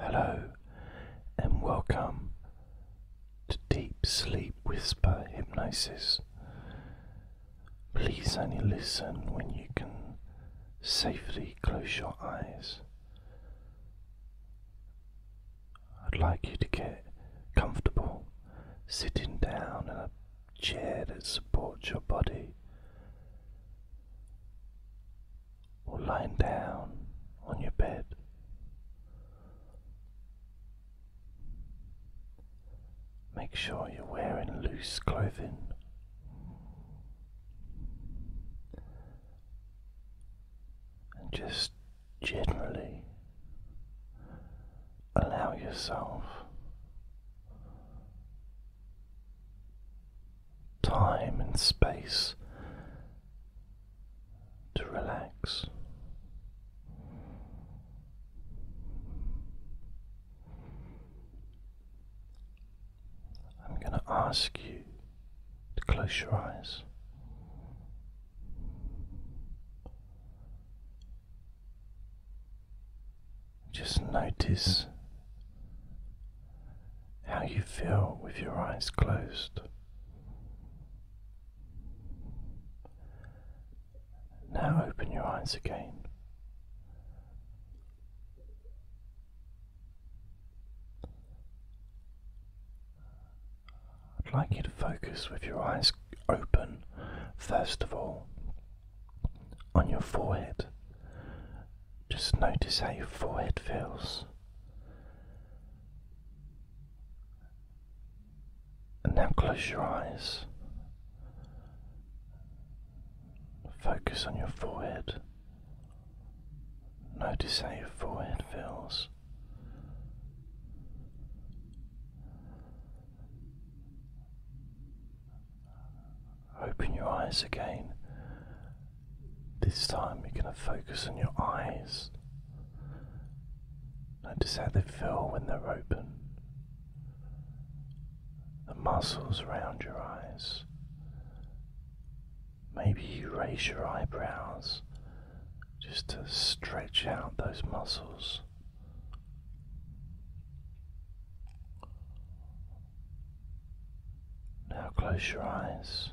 Hello and welcome to Deep Sleep Whisper Hypnosis. Please only listen when you can safely close your eyes. I'd like you to get comfortable sitting down in a chair that supports your body or lying down on your bed. Make sure you're wearing loose clothing. And just generally allow yourself time and space to relax. I'm going to ask you to close your eyes. Just notice how you feel with your eyes closed. Now open your eyes again. I'd like you to focus with your eyes open, first of all, on your forehead. Just notice how your forehead feels. And now close your eyes. Focus on your forehead. Notice how your forehead feels. Open your eyes again this time we are going to focus on your eyes. Notice how they feel when they're open. The muscles around your eyes. Maybe you raise your eyebrows just to stretch out those muscles. Now close your eyes,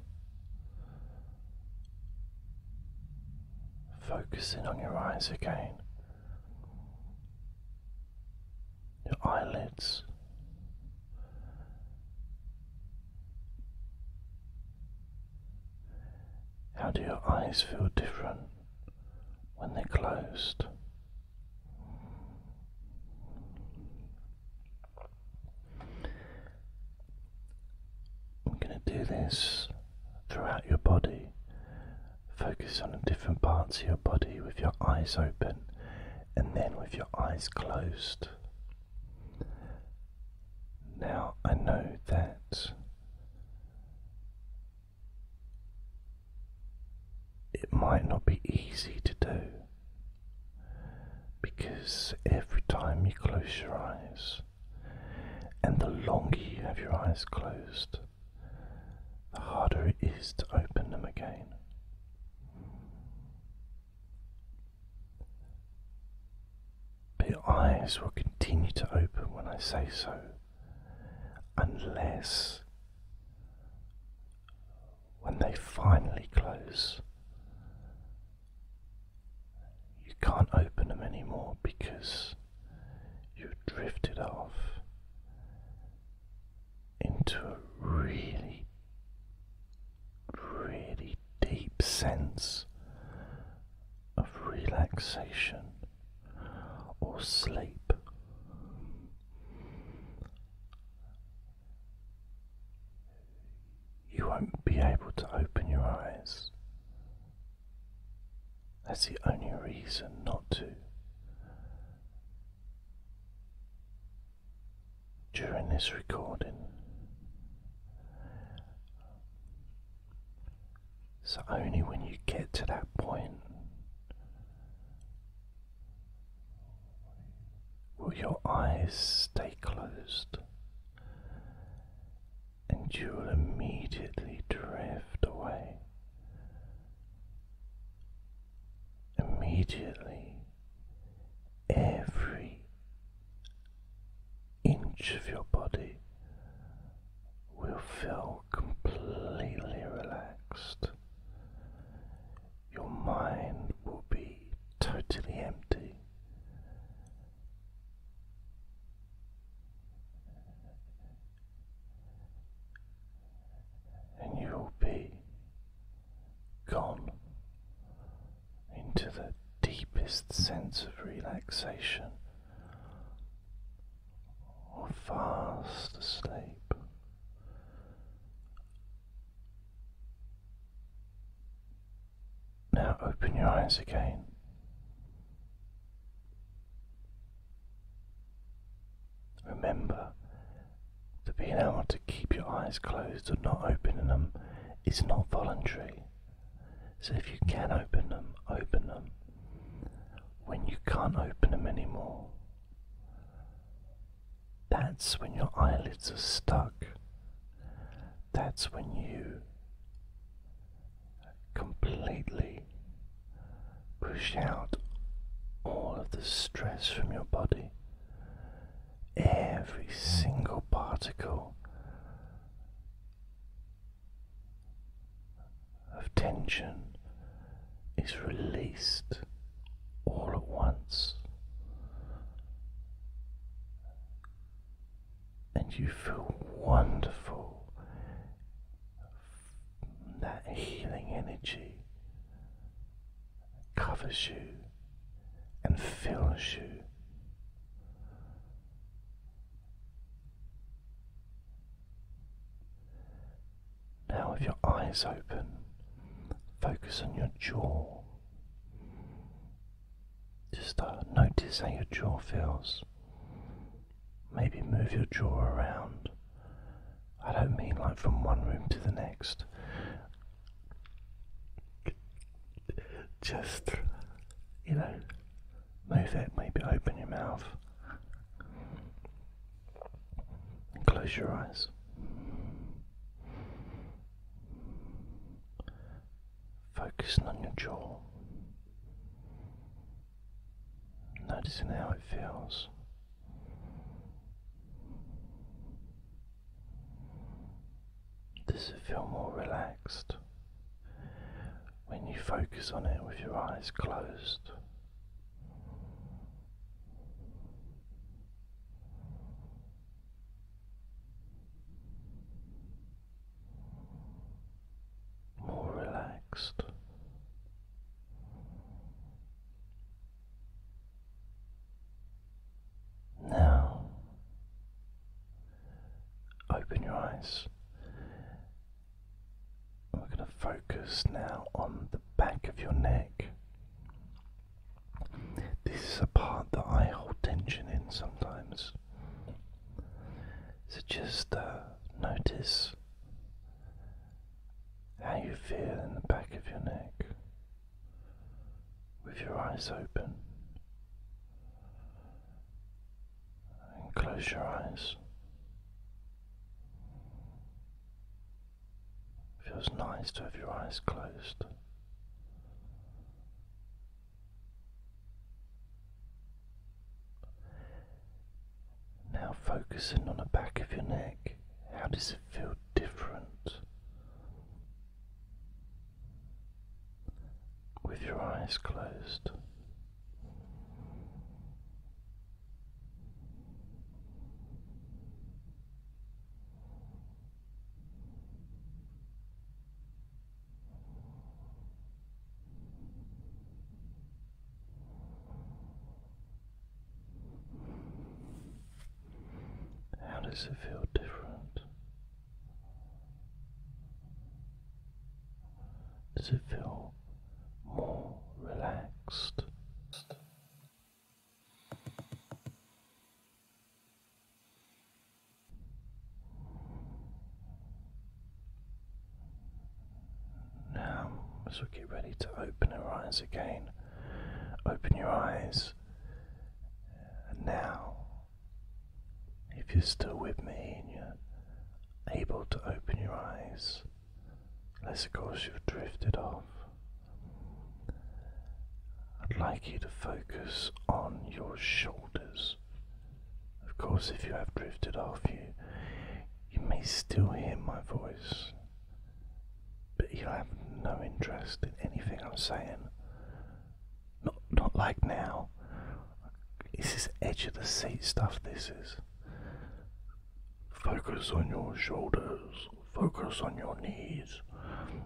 focusing on your eyes again, your eyelids. How do your eyes feel different when they're closed? I'm going to do this throughout your body. Focus on different parts of your body with your eyes open and then with your eyes closed. Now I know that it might not be easy to do because every time you close your eyes, and the longer you have your eyes closed, the harder it is to open them again. But your eyes will continue to open when I say so, unless when they finally close, you can't open them anymore because you drifted off into a really, really deep sense of relaxation or sleep you won't be able to open your eyes. That's the only reason not to. During this recording, so only when you get to that point Will your eyes stay closed? And you will immediately drift away. Immediately, every inch of your body will feel completely relaxed your mind will be totally empty. And you will be gone into the deepest sense of relaxation or fast asleep now open your eyes again. Remember that being able to keep your eyes closed or not opening them is not voluntary. So if you can open them, open them. When you can't open them anymore, that's when your eyelids are stuck. That's when you completely push out all of the stress from your body. Every single particle of tension is released all at once and you feel wonderful. That healing energy covers you and fills you. Now, with your eyes open, focus on your jaw. Just uh, notice how your jaw feels. Maybe move your jaw around. I don't mean like from one room to the next. Just, you know, move it, maybe open your mouth. And close your eyes. Focusing on your jaw, noticing how it feels. Does it feel more relaxed when you focus on it with your eyes closed? more relaxed. Now, open your eyes. We're going to focus now on the back of your neck. This is a part that I hold tension in sometimes. So just uh, notice how you feel in the back of your neck with your eyes open. And close your eyes. Feels nice to have your eyes closed. Now, focusing on the back of your neck, how does it feel different? With your eyes closed. How does it feel different? Does it feel more relaxed? Now, so get ready to open your eyes again. Open your eyes. now, if you're still with me and you're able to open your eyes, unless of course you've drifted off, I'd like you to focus on your shoulders. Of course, if you have drifted off, you, you may still hear my voice, but you'll have no interest in anything I'm saying. Not, not like now. This is edge of the seat stuff, this is. Focus on your shoulders, focus on your knees.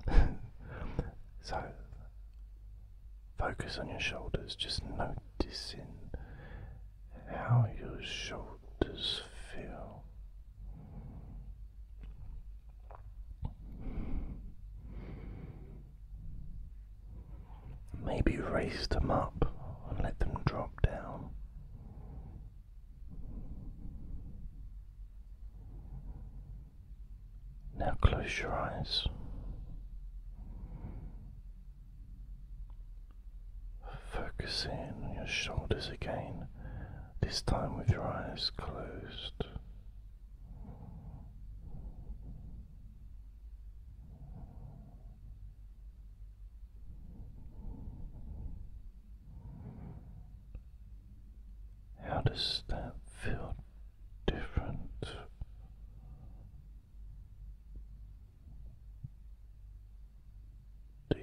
So, focus on your shoulders, just noticing how your shoulders feel. Maybe raise them up and let them drop down. Now close your eyes. Focus in on your shoulders again, this time with your eyes closed. How does that feel different.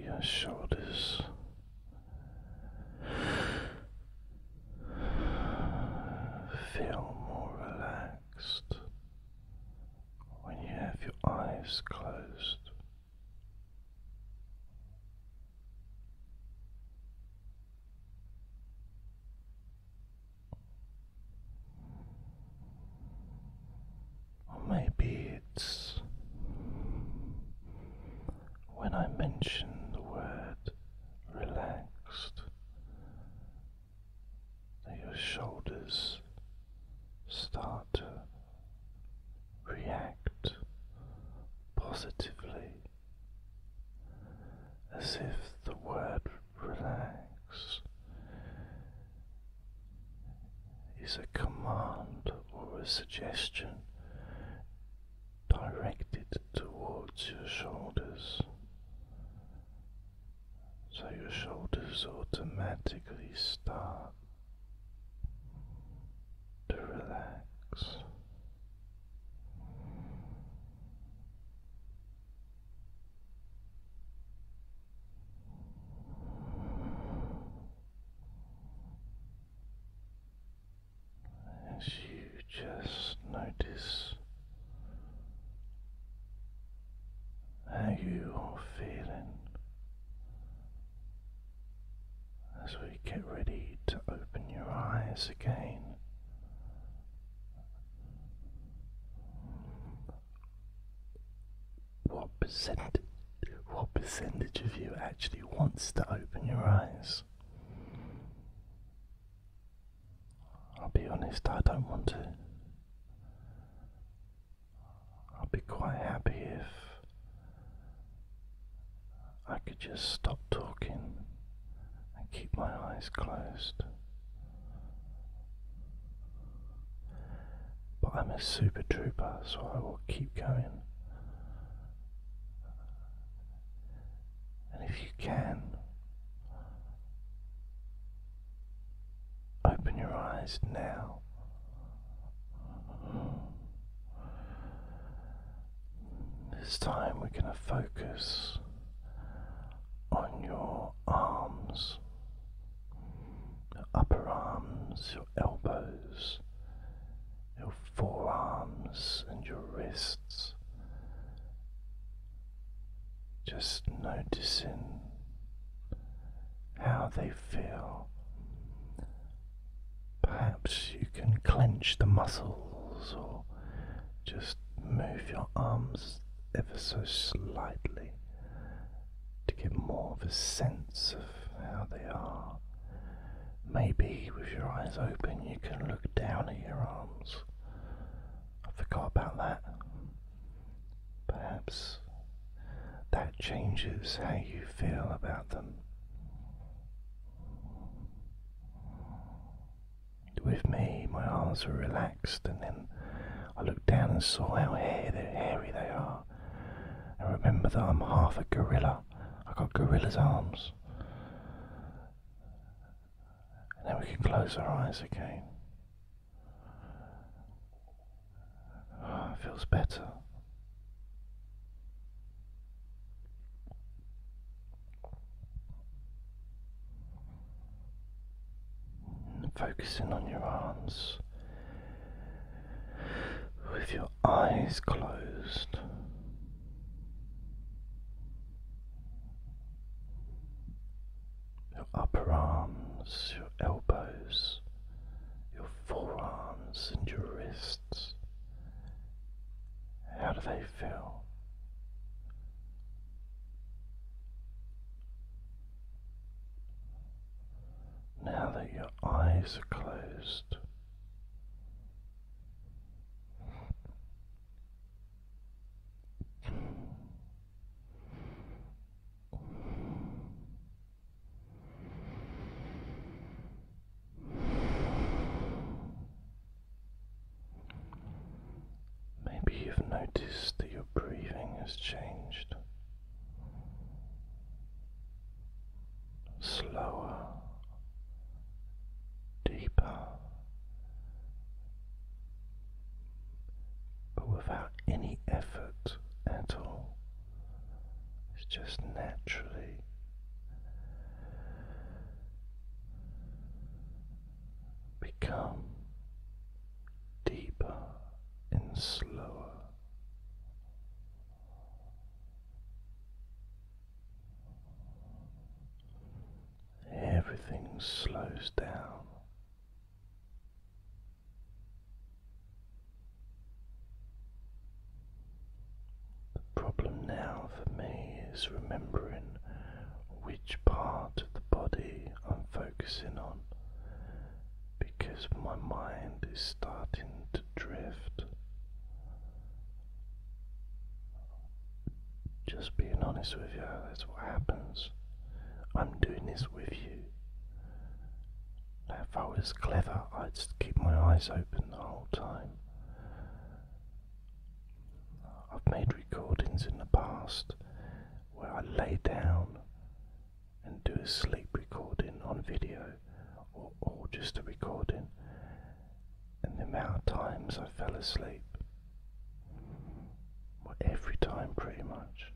your uh, shoulders, feel more relaxed when you have your eyes closed. Or maybe it's when I mention the word relaxed that your shoulders start to react positively as if the word relax is a command or a suggestion directed towards your shoulders. So your shoulders automatically start to relax. As you just notice how you are feeling as we get ready to open your eyes again. What percent what percentage of you actually wants to open your eyes? I'll be honest, I don't want to. I'll be quite happy if I could just stop talking and keep my eyes closed. But I'm a super trooper, so I will keep going. And if you can, open your eyes now. This time we're going to focus on your arms, your upper arms, your elbows, your forearms, and your wrists. Just noticing how they feel Perhaps you can clench the muscles or just move your arms ever so slightly to get more of a sense of how they are. Maybe with your eyes open you can look down at your arms. I forgot about that. Perhaps that changes how you feel about them with me. My arms were relaxed, and then I looked down and saw how hairy they are. I remember that I'm half a gorilla. I got gorilla's arms. And then we can close our eyes again. Ah, it feels better focusing on your arms with your eyes closed. Your upper arms, your elbows, your forearms, and your wrists. How do they feel? Now that your eyes are closed, Maybe you've noticed that your breathing has changed. Slower, deeper, but without any effort at all. It's just naturally become deeper and slower. Everything slows down. The problem now for me is remembering which part of the body I'm focusing on because my mind is starting to drift. Just being honest with you, that's what happens. I'm doing this with you. if I was clever, I'd keep my eyes open the whole time. Uh, I've made recordings in the past where I lay down and do a sleep recording on video or, just a recording, and the amount of times I fell asleep. Well, every time, pretty much.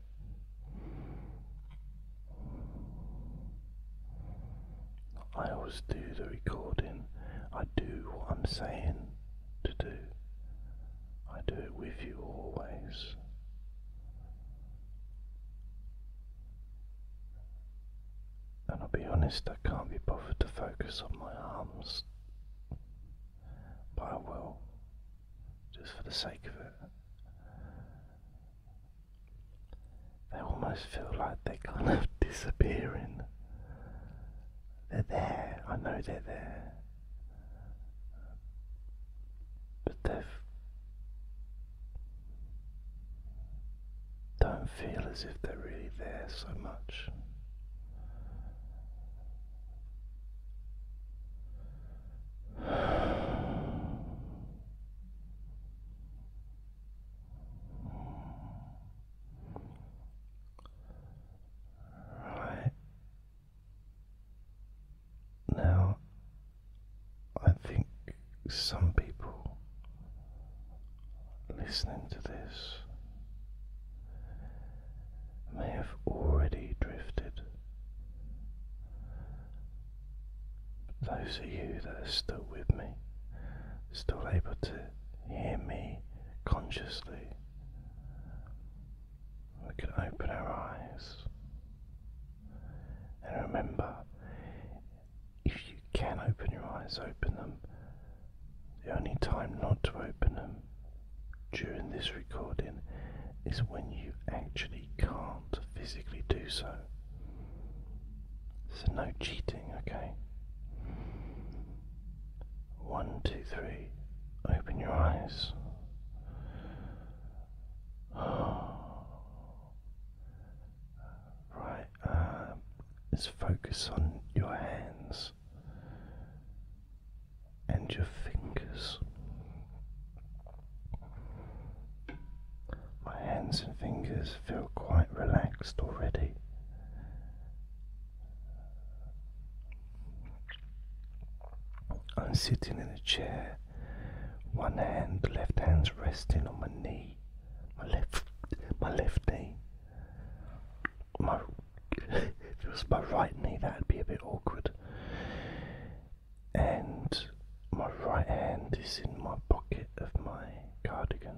I always do the recording. I do what I'm saying to do. I do it with you always. And I'll be honest, I can't be bothered to focus on my arms. But I will, just for the sake of it. They almost feel like they're kind of disappearing. They're there, I know they're there. But they don't feel as if they're really there so much. Right. Now, I think some people listening to this may have already drifted. those of you that are still with me, still able to hear me consciously. We can open our eyes. And remember, if you can open your eyes, open them. The only time not to open them during this recording is when you actually can't physically do so. So, no cheating, okay? One, two, three. Open your eyes. Right, uh, let's focus on your hands and your fingers. My hands and fingers feel quite relaxed already. I'm sitting in a chair, one hand, the left hand's resting on my knee, my left, my left knee. My, if it was my right knee, that'd be a bit awkward. And my right hand is in my pocket of my cardigan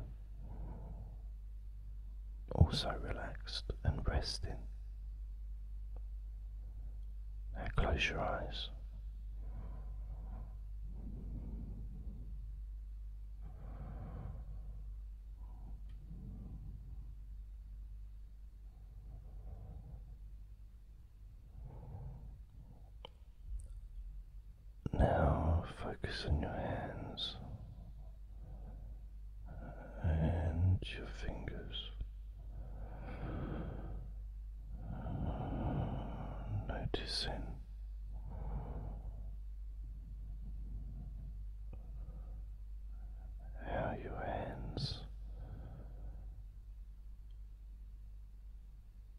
also relaxed and resting. Now close your eyes. Now focus on your hands and your fingers. Noticing how your hands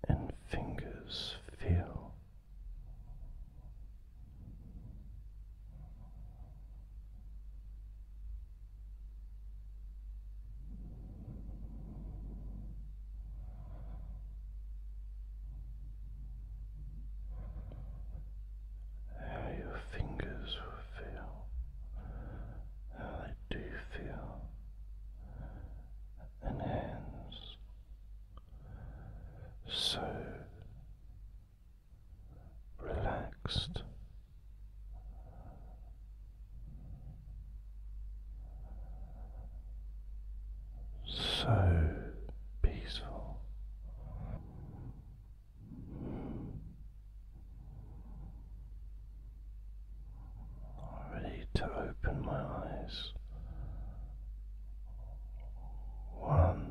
and fingers feel how your fingers will feel, how they do feel, and hands so relaxed. So peaceful. ready to open my eyes. One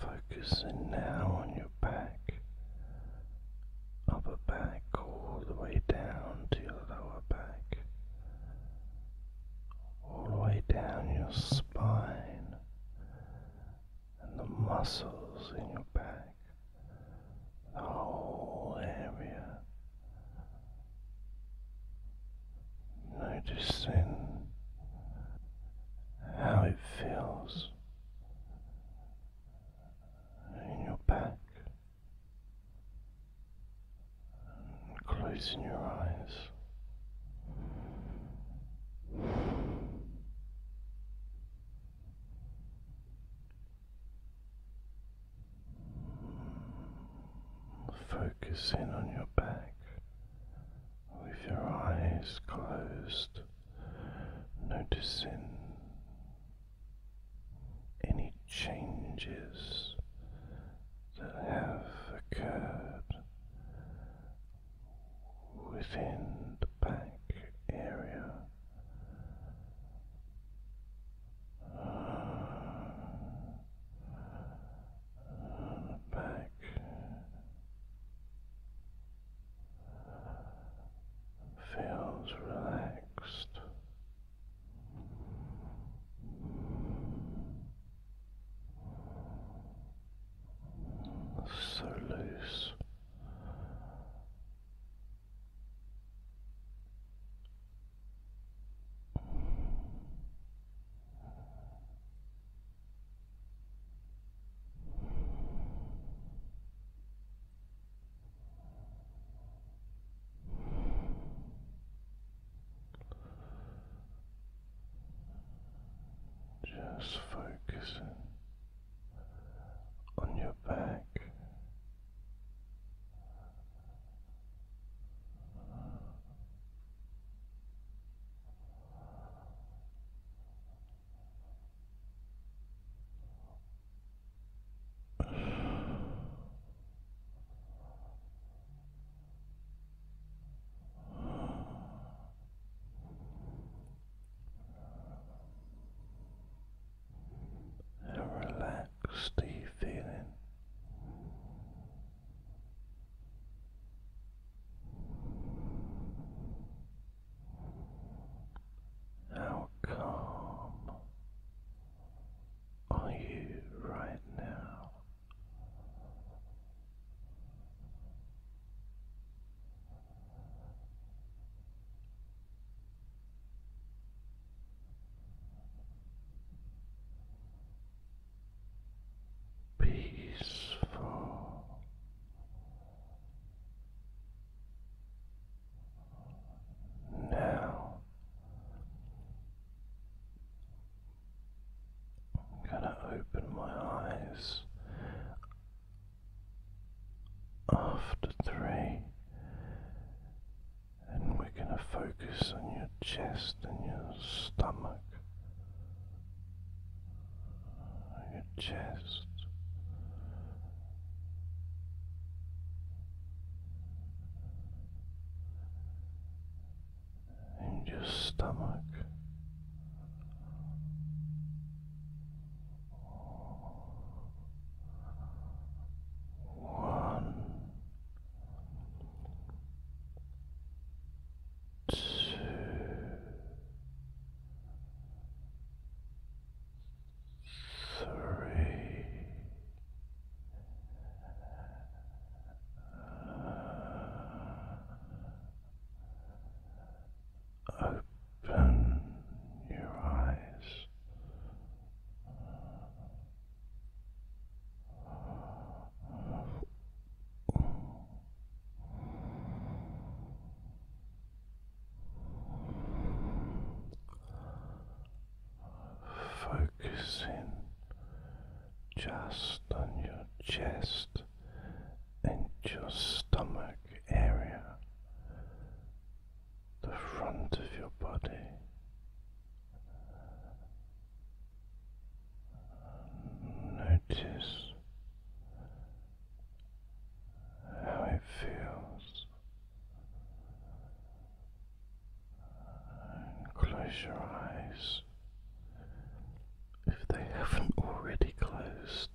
Focusing now on your back, upper back, all the way down to your lower back, all the way down your spine and the muscles in your back, the whole area. Noticing how it feels in your back, closing your eyes. Focusing on your back with your eyes closed, noticing any changes that have occurred within the back area back. Feels relaxed. So loose. Just focusing on your back. How relaxed are you feeling? How calm are you right now? peaceful. Now I'm going to open my eyes after three, and we're going to focus on your chest and your stomach your chest. And your stomach, one two, three, open your eyes. Focusing just on your chest and your stomach area, the front of your body. Notice how it feels. close your eyes if they haven't already closed.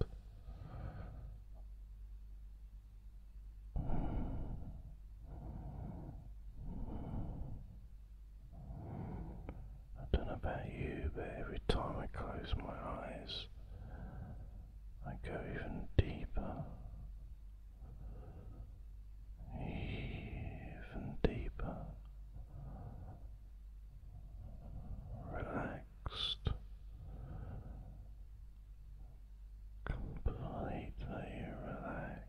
I don't know about you, but every time I close my eyes, I go even deeper, even deeper, relaxed, completely relaxed.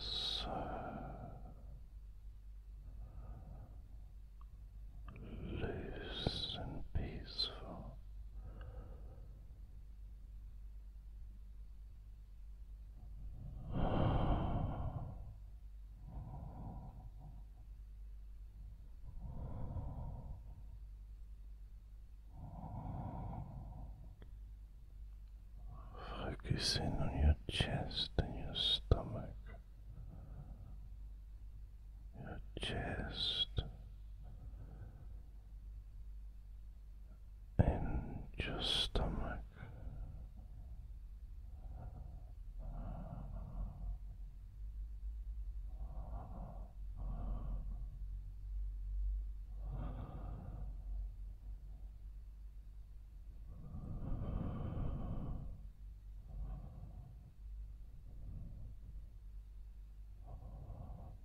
So loose and peaceful. Focus in on your chest and your stomach, your chest, in your stomach.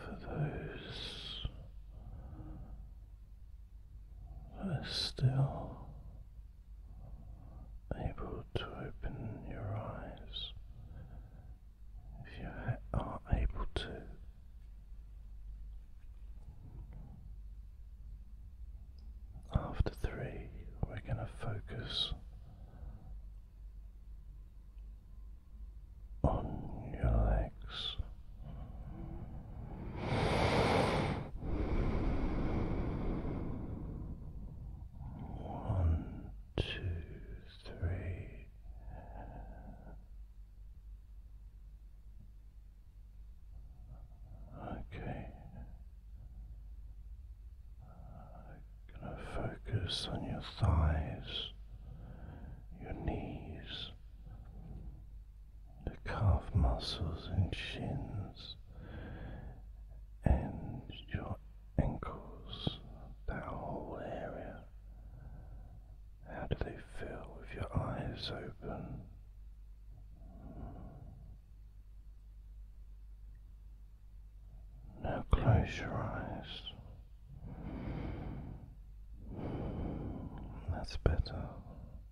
For those that are still able to open your eyes. If you are able to, after three, we're going to focus on your legs. One, two, three. Okay. I'm going to focus on your thighs, your knees, the calf muscles and shins and your ankles, that whole area. How do they feel with your eyes open? Now close your eyes. That's better.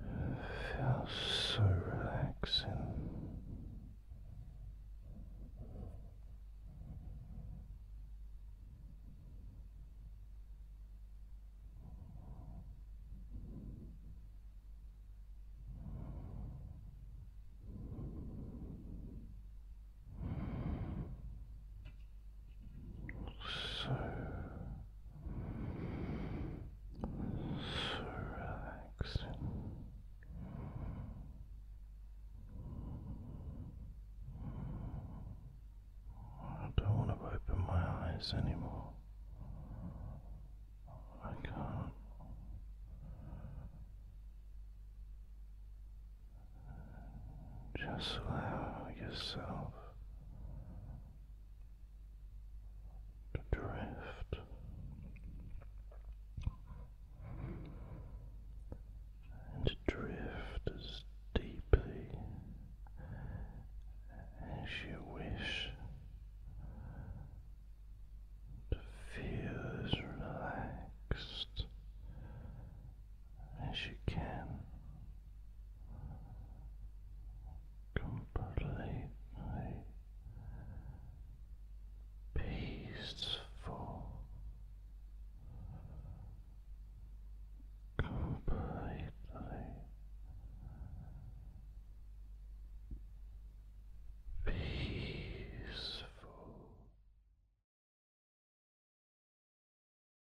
It feels so relaxing so, so I don't want to open my eyes anymore. I can't. Just allow yourself to drift and drift as deeply as you wish to feel relaxed as you can completely peaceful completely peaceful